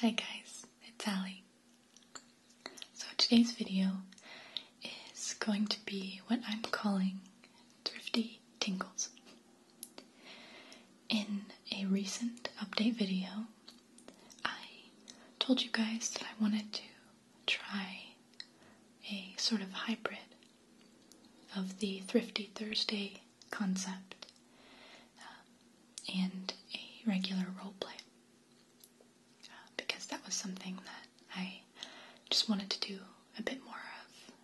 Hi guys, it's Ali. So today's video is going to be what I'm calling Thrifty Tingles. In a recent update video, I told you guys that I wanted to try a sort of hybrid of the Thrifty Thursday concept um, and a regular role play uh, because that was something that I just wanted to do a bit more of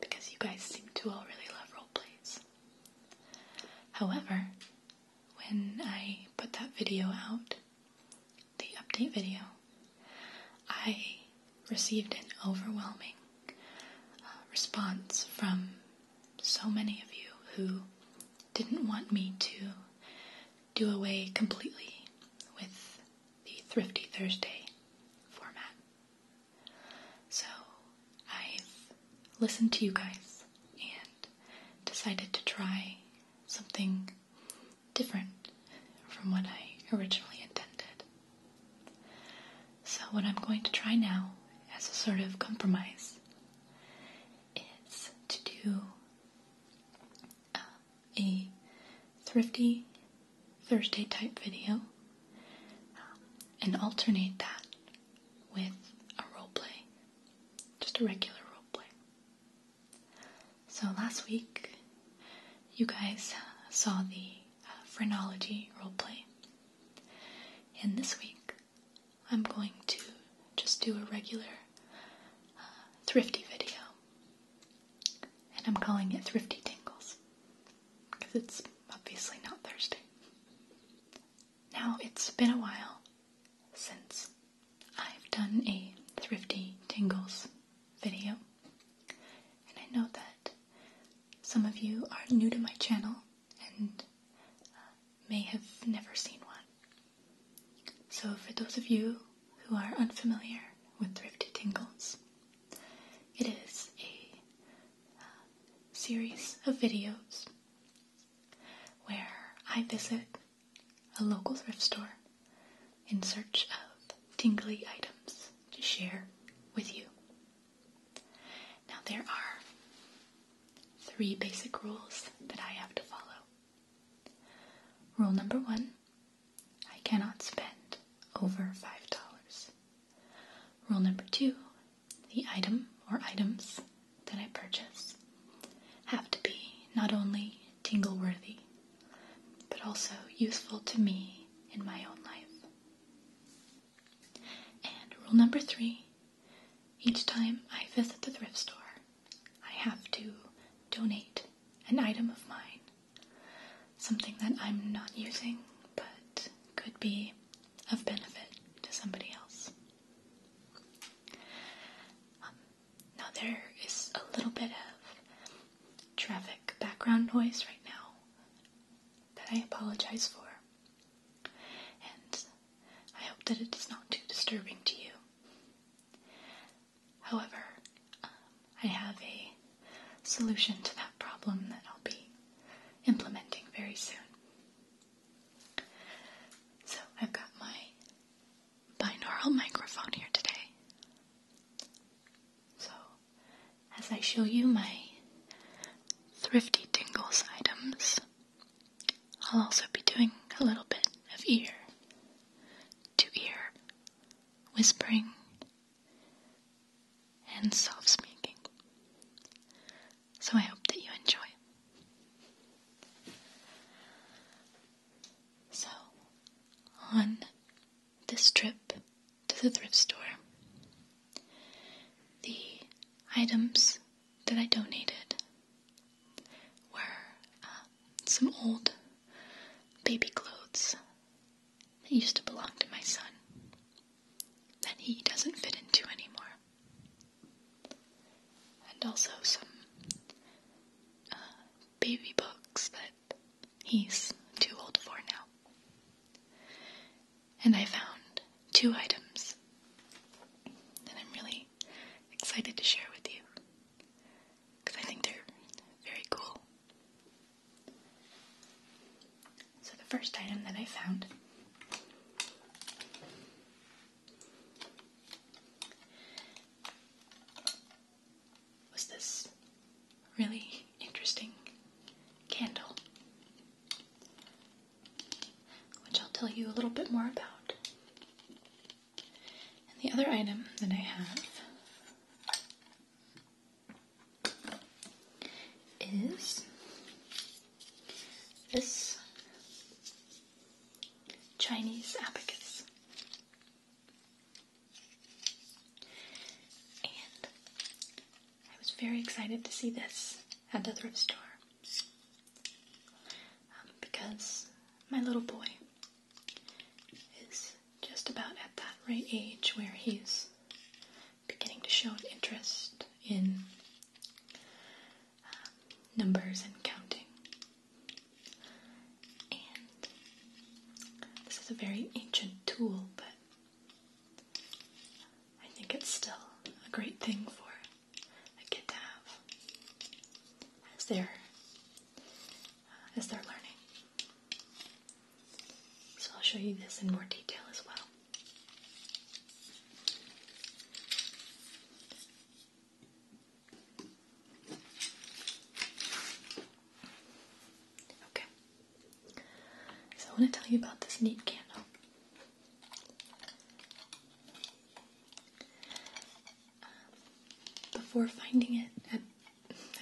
because you guys seem to all really love role plays. However, when I put that video out, the update video, I received an overwhelming uh, response from so many of you who didn't want me to do away completely with the Thrifty Thursday format. So I've listened to you guys and decided to try something different from what I originally intended. So, what I'm going to try now, as a sort of compromise, is to do uh, a thrifty Thursday type video um, and alternate that with a roleplay just a regular role play. So last week, you guys saw the uh, phrenology role play. And this week, I'm going to just do a regular uh, thrifty video. And I'm calling it Thrifty Tingles. Because it's obviously not Thursday. Now, it's been a while since I've done a Thrifty Tingles video, and I know that some of you are new to my channel and uh, may have never seen one. So, for those of you who are unfamiliar with Thrifty Tingles, it is a uh, series of videos where I visit a local thrift store in search of tingly items to share with you. Now, there are three basic rules that I have to follow. Rule number one I cannot spend over $5. Rule number two the item or items that I purchase have to be not only tingle worthy, but also useful to me in my own life. And rule number three each time I visit the thrift store, I have to donate an item of mine, something that I'm not using but could be of benefit to somebody else. Um, now there is a little bit of traffic background noise right now that I apologize for. And I hope that it is not too disturbing to you. However, um, I have a solution to that problem that I'll be implementing very soon. So I've got my binaural microphone here today. So as I show you my thrifty tingles items, I'll also be doing a little bit of ear to ear whispering and soft speaking. So I hope that you enjoy. So, on this trip to the thrift store, the items that I donated were um, some old baby clothes that used to belong to my son that he doesn't fit into anymore and also some uh, baby books that he's too old for now. And I found two items that I'm really excited to share with you because I think they're very cool. So, the first item that I found was this really interesting candle, which I'll tell you a little bit more about. And the other item that I have is this Chinese abacus. And I was very excited to see this at the thrift store um, because my little boy is just about at that right age where he's beginning to show an interest in numbers and counting. this is a very ancient tool, but I think it's still a great thing for a kid to have as they're, uh, as they're learning. So I'll show you this in more detail as well. Okay. So I want to tell you about this neat candle. Um, before finding it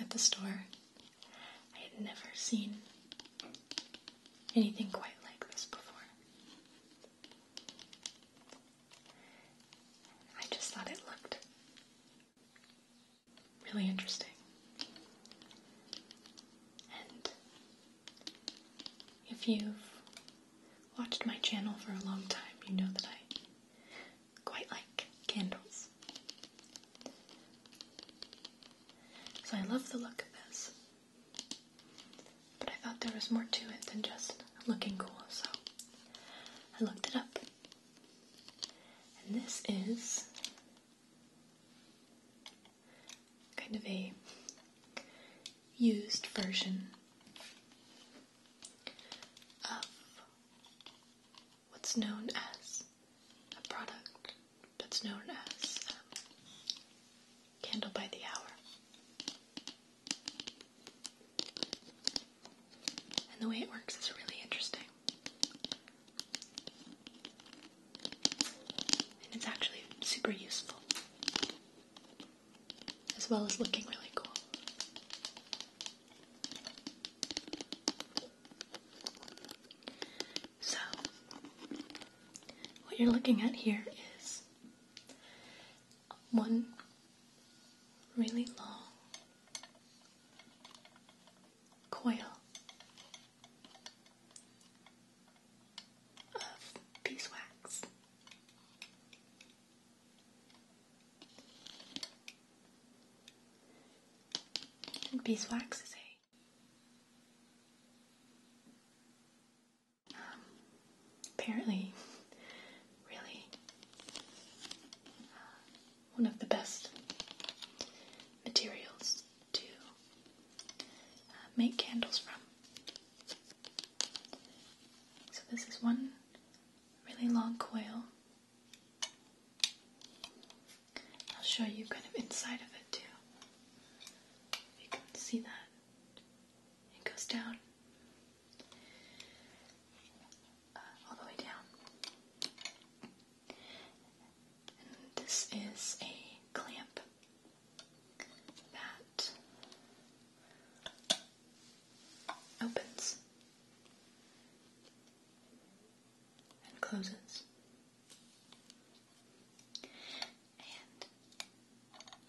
at the store, I had never seen anything quite like this before. I just thought it looked really interesting. And if you've watched my channel for a long time, you know that I quite like candles. So I love the look of this but I thought there was more to it than just looking cool, so I looked it up. And this is kind of a used version of what's known as a product that's known as um, Candle by the Hour. And the way it works is really interesting. And it's actually super useful, as well as looking really cool. So, what you're looking at here is one really long coil of beeswax. beeswax is a apparently, really uh, one of the best materials to uh, make candles from. So, this is one really long coil. I'll show you kind of inside of it too. You can see that. It goes down uh, all the way down. this is a clamp that opens and closes. And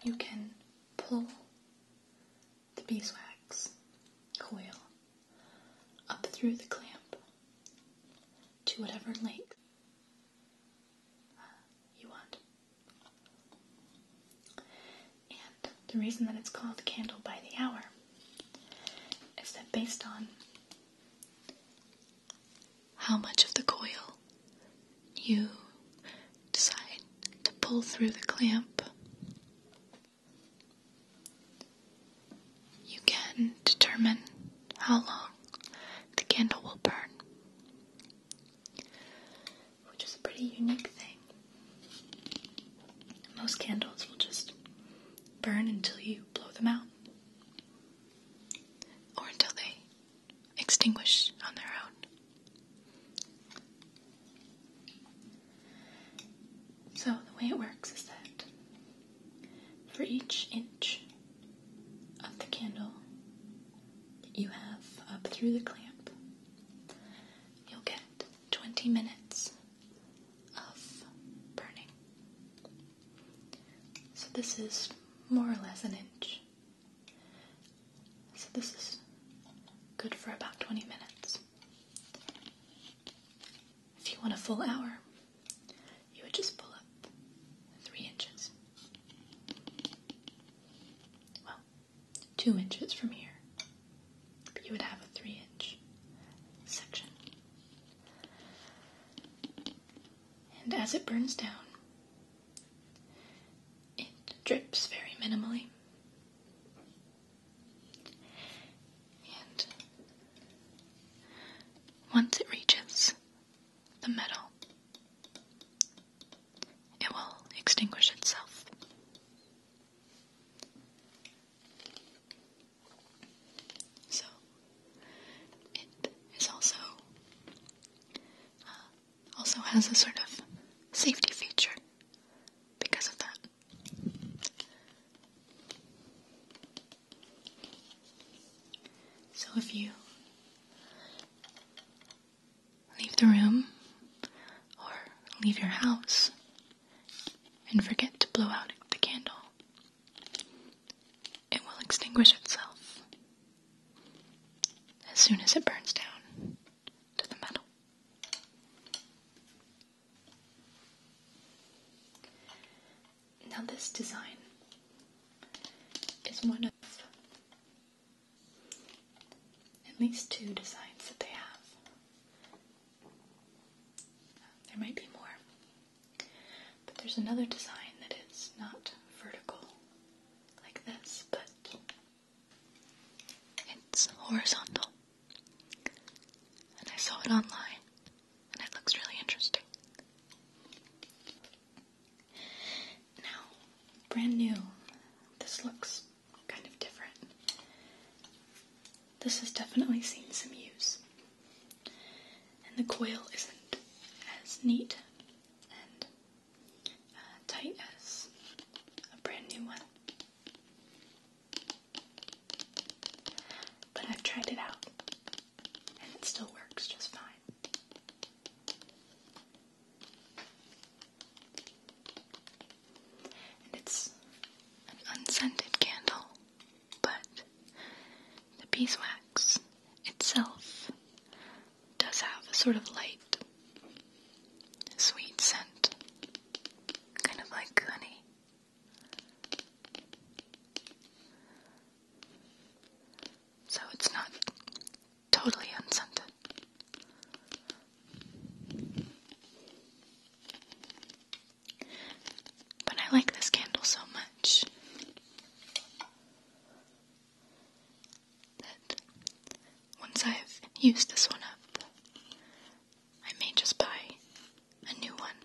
you can pull the beeswax coil up through the clamp to whatever length uh, you want. And the reason that it's called candle by the hour is that based on how much of the coil you decide to pull through the clamp, you can determine how long the candle will burn, which is a pretty unique thing. Most candles will just burn until you blow them out or until they extinguish on their own. So, the way it works is that for each inch of the candle you have up through the clamp, you'll get 20 minutes of burning. So, this is more or less an inch. So this is good for about 20 minutes. If you want a full hour, you would just pull up three inches. Well, two inches from here. But you would have a three inch section. And as it burns down, it drips very minimally. And once it reaches the metal, it will extinguish itself. So, it is also uh, also has a sort of safety feature because of that. So if you leave the room or leave your house and forget to blow out the candle, it will extinguish itself as soon as it burns down to the metal. Now this design is one of at least two designs that they have. There might be more, but there's another design that is not vertical like this, but it's horizontal. And I saw it online, and it looks really interesting. Now, brand new, this looks kind of different. This has definitely seen some use. And the coil isn't as neat and uh, tight as a brand new one. But I've tried it out, and it still works just fine. And it's an unscented candle, but the beeswax itself does have a sort of light, sweet scent kind of like honey. So it's not totally unscented. But I like this candle so much that once I've used this one up, I may just buy a new one.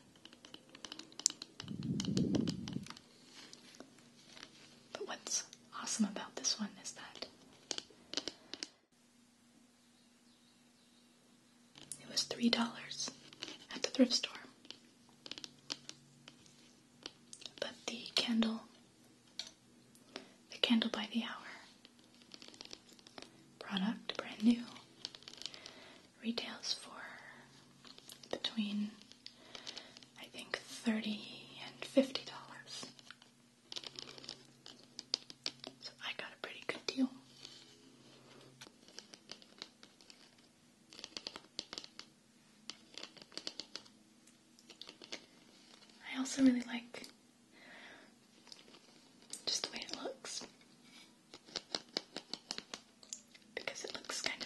But what's awesome about this one is that it was $3 at the thrift store. But the candle, the candle by the hour, Product, brand new. Retails for between, I think, 30 and $50. So I got a pretty good deal. I also really like just the way it looks. Because it looks kind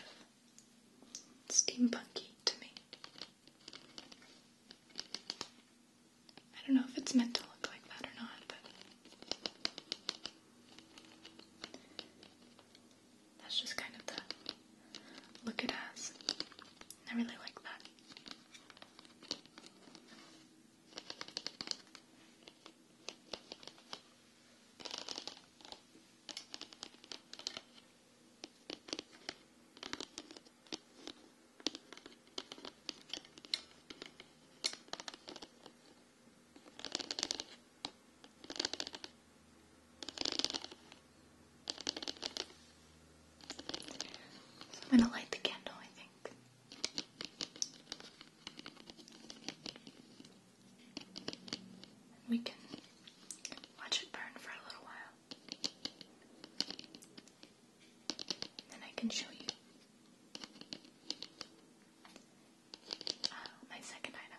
of steampunky to me. I don't know if it's meant to look like that or not, but that's just kind of the look it has. I really like that. I'm going to light the candle, I think. And we can watch it burn for a little while. Then I can show you uh, my second item.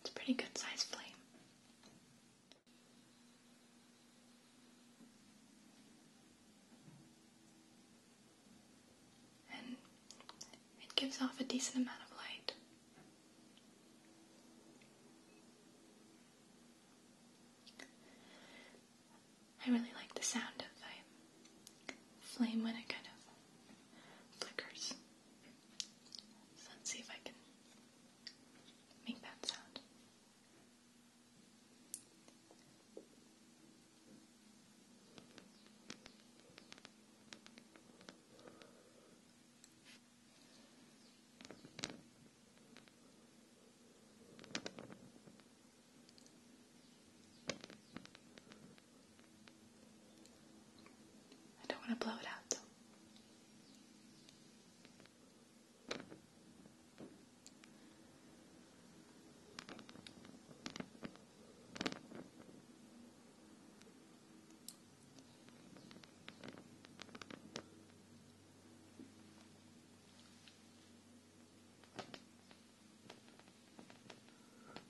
It's a pretty good size flame. And it gives off a decent amount of light. I really like the sound of the flame when it kind of flickers. So let's see if I can make that sound. I don't want to blow it out though.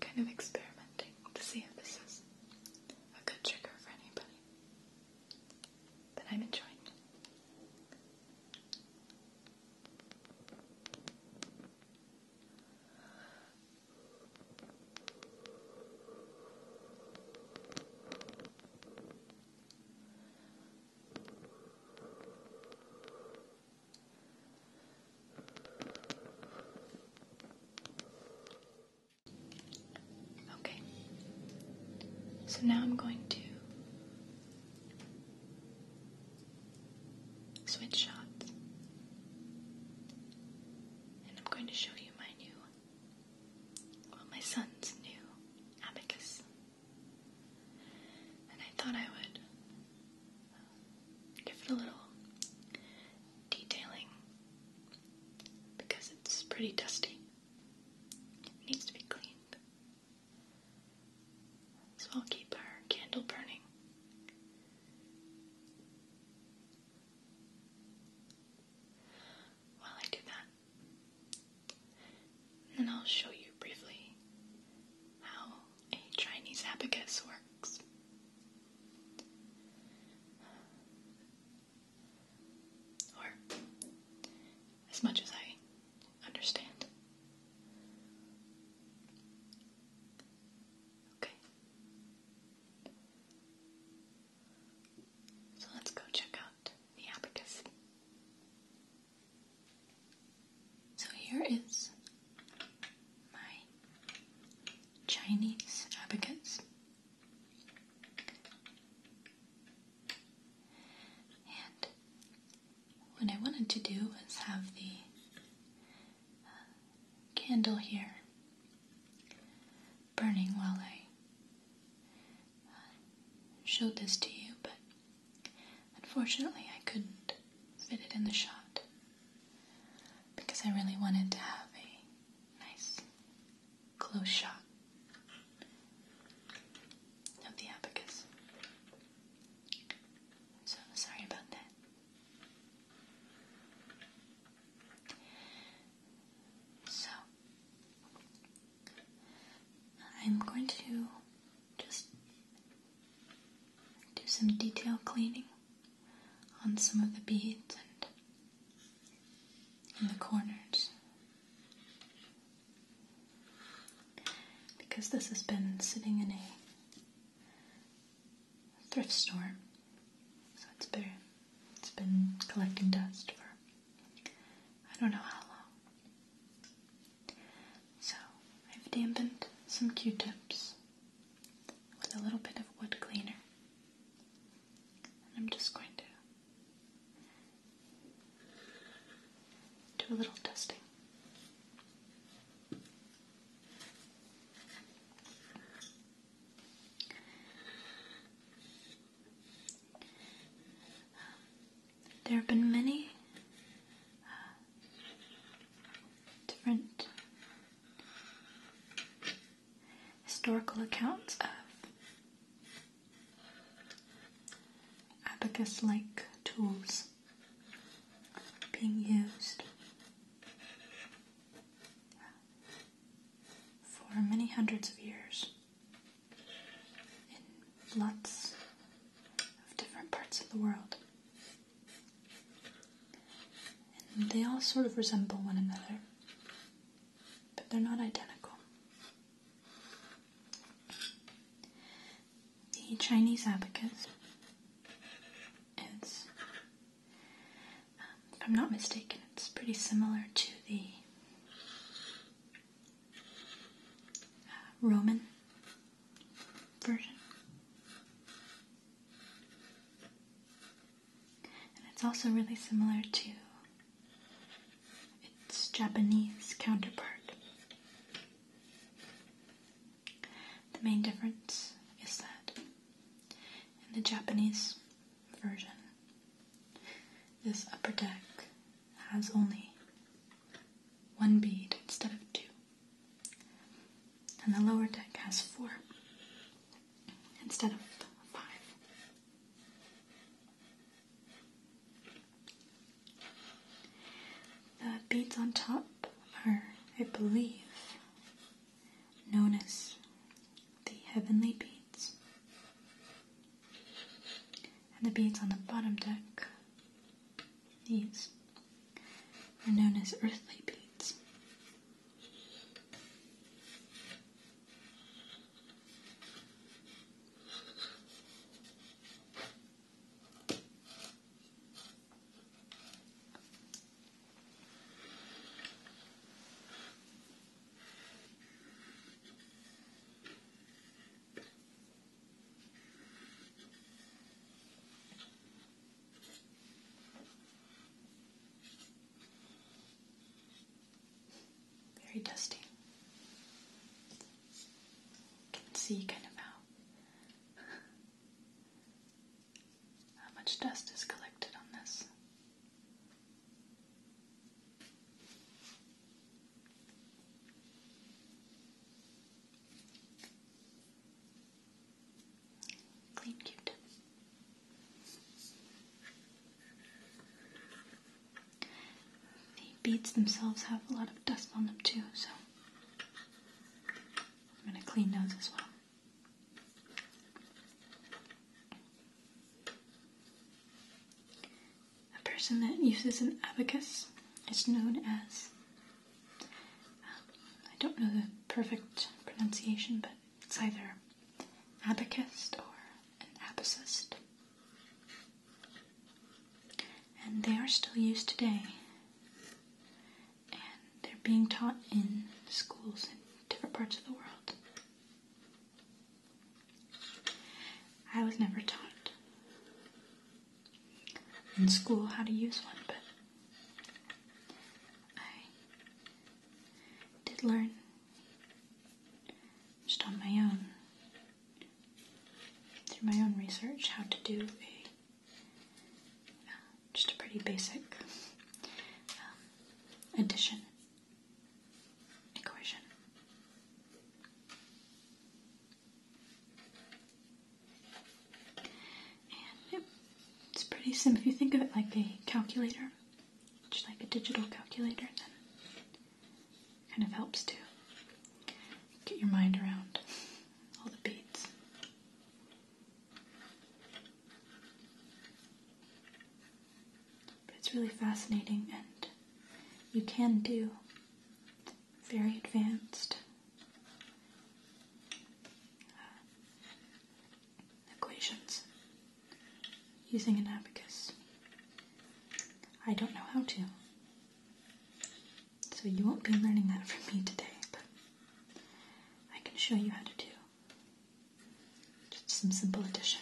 kind of experimenting to see if this is a good trigger for anybody. But I'm enjoying it. Okay. So now I'm going to switch shots. And I'm going to show you my new, well, my son's new abacus. And I thought I would give it a little detailing because it's pretty dusty. needs to be cleaned. So I'll keep our candle burning. While I do that, and I'll show you briefly how a Chinese abacus works. Or, as much as I understand. Okay. So let's go check out the abacus. So here is my Chinese abacus. And what I wanted to do was have the uh, candle here burning while I uh, showed this to you, but unfortunately I couldn't fit it in the shot because I really wanted to have a nice close shot of the abacus. So sorry about that. So I'm going to just do some detail cleaning on some of the beads and in the corners. Because this has been sitting in a thrift store, so it's been, it's been collecting dust for I don't know how long. So I've dampened some Q-tips with a little bit of wood cleaner. And I'm just going to do a little dusting. there have been many uh, different historical accounts of abacus like tools being used for many hundreds of years in lots of different parts of the world. And they all sort of resemble one another, but they're not identical. The Chinese abacus is, um, if I'm not mistaken, it's pretty similar to the uh, Roman version. And it's also really similar to its Japanese counterpart. The main difference is that in the Japanese version, this upper deck has only one bead instead of two and the lower deck has four instead of five. The beads on top are, I believe, known as the heavenly beads, and the beads on the bottom deck, these are known as earthly beads. Very dusty. can see kind of how how much dust is collected on this. Clean cute. The beads themselves have a lot of dust on them too, so I'm going to clean those as well. A person that uses an abacus is known as I don't know the perfect pronunciation, but it's either abacus or abacusist, And they are still used today. And they're being taught in schools in different parts of the world. I was never taught in school how to use one, but I did learn just on my own, through my own research, how to do a just a pretty basic um, addition equation it's pretty simple. If you think of it like a calculator, just like a digital calculator, then kind of helps to get your mind around all the beads. But it's really fascinating, and you can do very advanced uh, equations using an abacus. I don't know how to. So you won't be learning that from me today, but I can show you how to do just some simple addition.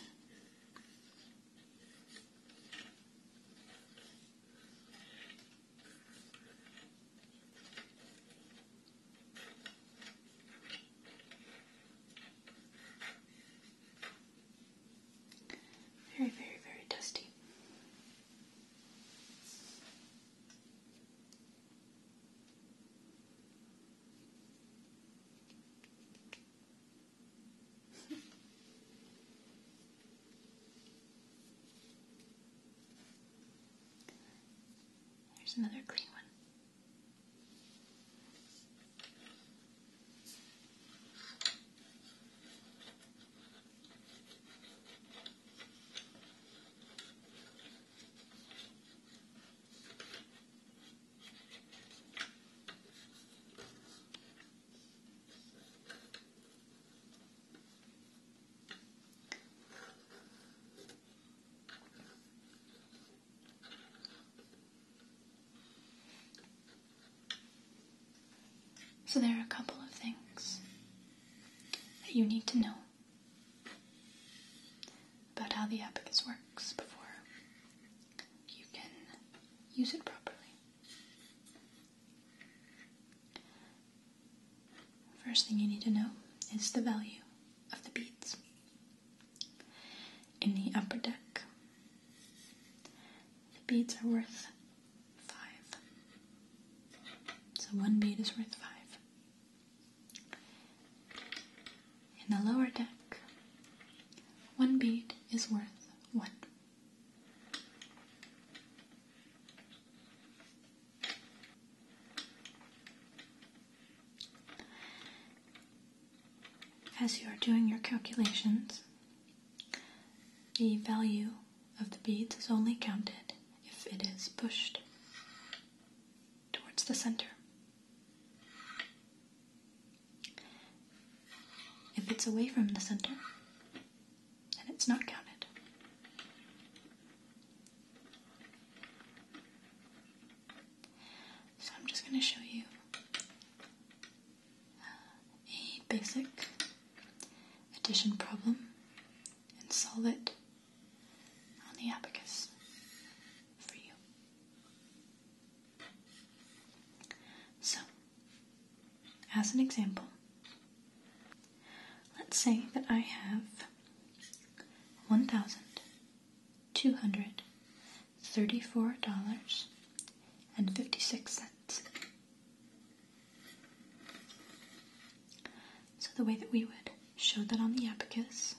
Very, very, very dusty. There's another green one. So, there are a couple of things that you need to know about how the abacus works before you can use it properly. First thing you need to know is the value of the beads. In the upper deck, the beads are worth five. So one bead is worth five. In the lower deck, one bead is worth one. As you are doing your calculations, the value of the beads is only counted if it is pushed towards the center. If it's away from the center, then it's not counted. So I'm just going to show you uh, a basic addition problem and solve it on the abacus for you. So, as an example, let's say that I have 1,000 two hundred thirty-four dollars and fifty-six cents. So the way that we would show that on the abacus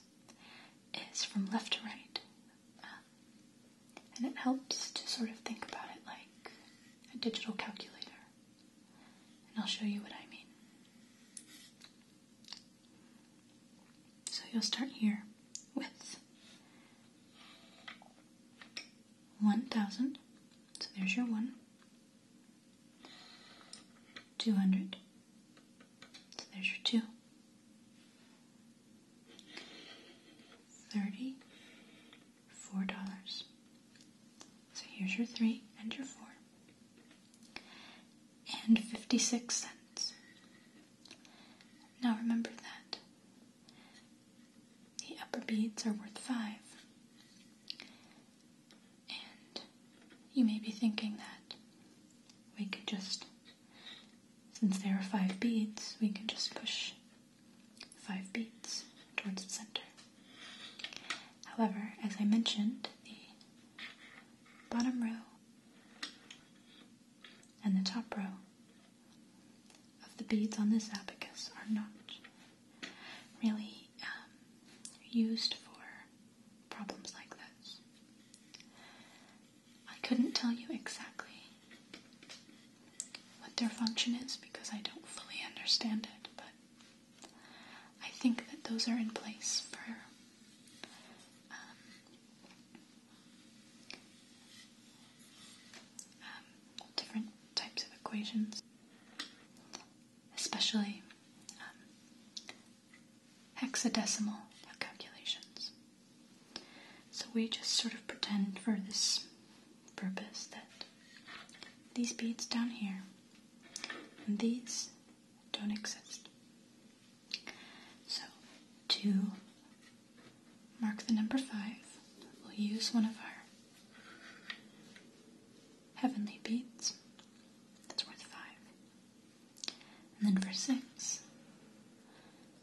is from left to right, um, and it helps to sort of think about it like a digital calculator. And I'll show you what I mean. So you'll start here with 1,000. So there's your 1. 200. So there's your 2. 30. $4. So here's your 3 and your 4 and 56 cents. Now remember that the upper beads are worth 5. And you may be thinking that we could just, since there are 5 beads, we could just push 5 beads towards the center. However, as I mentioned, the bottom row and the top row of the beads on this abacus are not really um, used for problems like this. I couldn't tell you exactly what their function is because I don't fully understand it, but I think that those are in place for um, um, different types of equations, especially um, hexadecimal calculations. So we just sort of pretend for this purpose that these beads down here and these don't exist. So, to mark the number five, we'll use one of our heavenly beads. That's worth five. And then for six,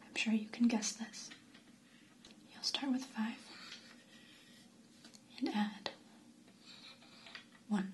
I'm sure you can guess this. You'll start with five and add one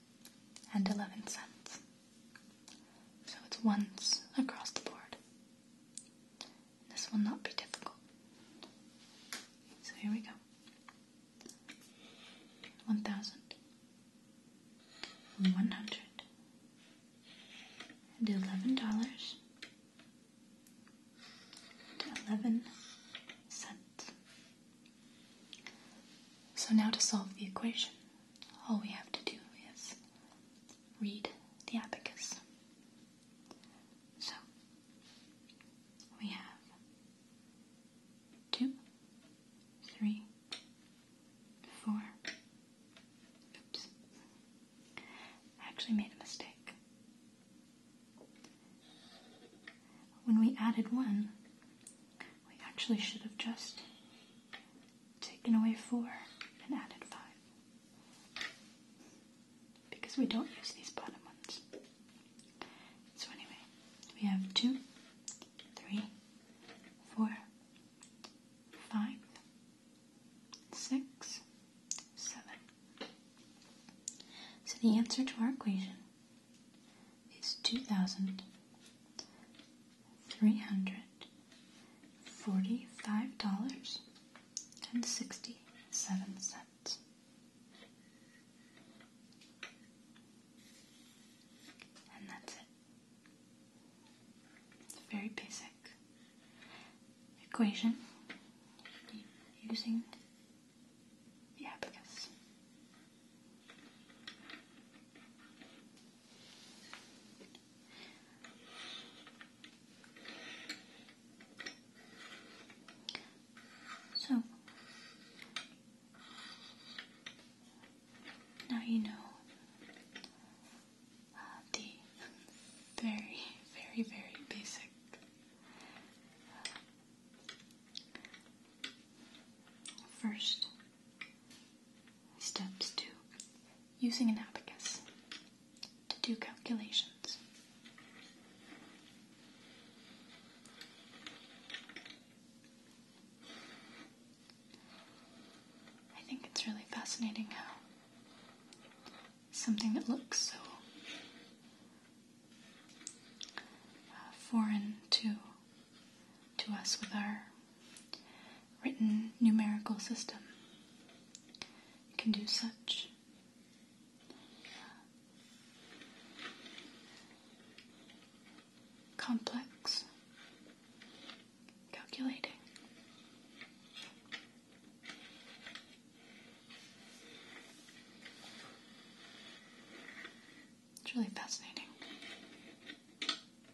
and 11 cents. So it's once across the board. This will not be difficult. So here we go. 1,000. 100 and eleven dollars eleven cents. So now to solve the equation all we have to do is read the abacus. So we have two, three, four. Oops. actually made a mistake. When we added one, we actually should have just taken away four and added five. Because we don't use these bottom ones. So anyway, we have two, three, four, five, six, seven. So the answer to our equation is 2,000 three hundred forty five dollars and sixty seven cents. And that's it. a very basic equation using the abacus. So now you know uh, the very, very, very basic uh, first Steps 2. Using an abacus to do calculations. I think it's really fascinating how something that looks so uh, foreign to to us with our written numerical system. can do such. Complex calculating. It's really fascinating.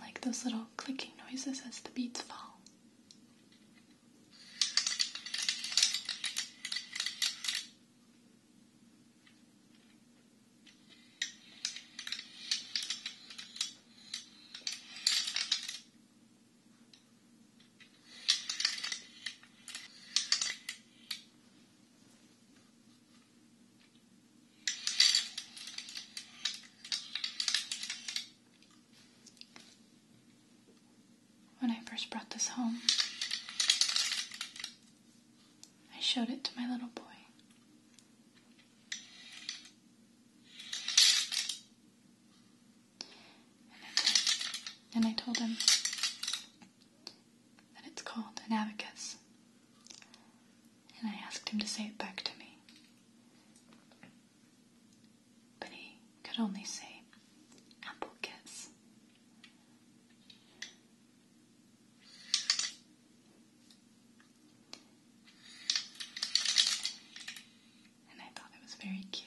like those little clicking noises as the beads fall. When I first brought this home, I showed it to my little boy. And I told him and it's called an abacus. And I asked him to say it back to me. But he could only say apple kiss. And I thought it was very cute.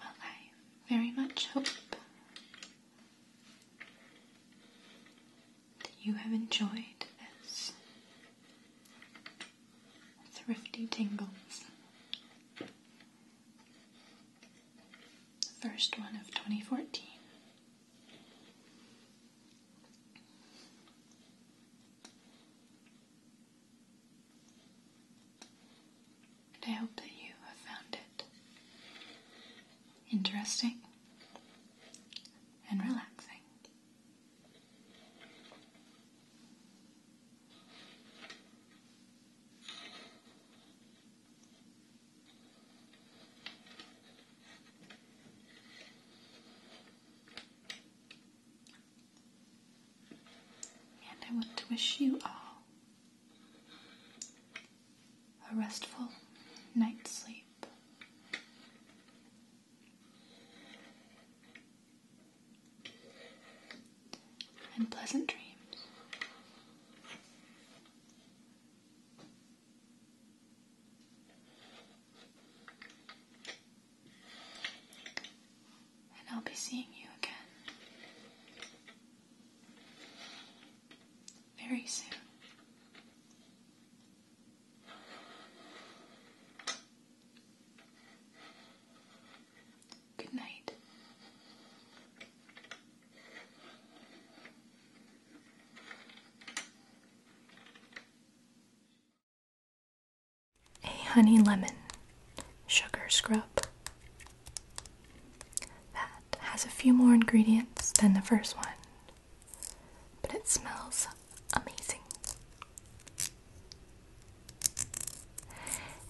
Well, I very much hope that you have enjoyed this thrifty tingles. first one of 2014. And I hope that you have found it interesting and relaxing. And I want to wish you all a restful night's sleep. And pleasant dreams. And I'll be seeing you again very soon. Good night a honey lemon sugar scrub that has a few more ingredients than the first one, but it smells amazing.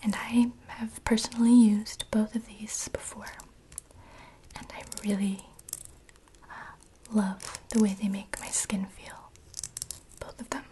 And I have personally used both of these before, and I really uh, love the way they make my skin feel. Both of them.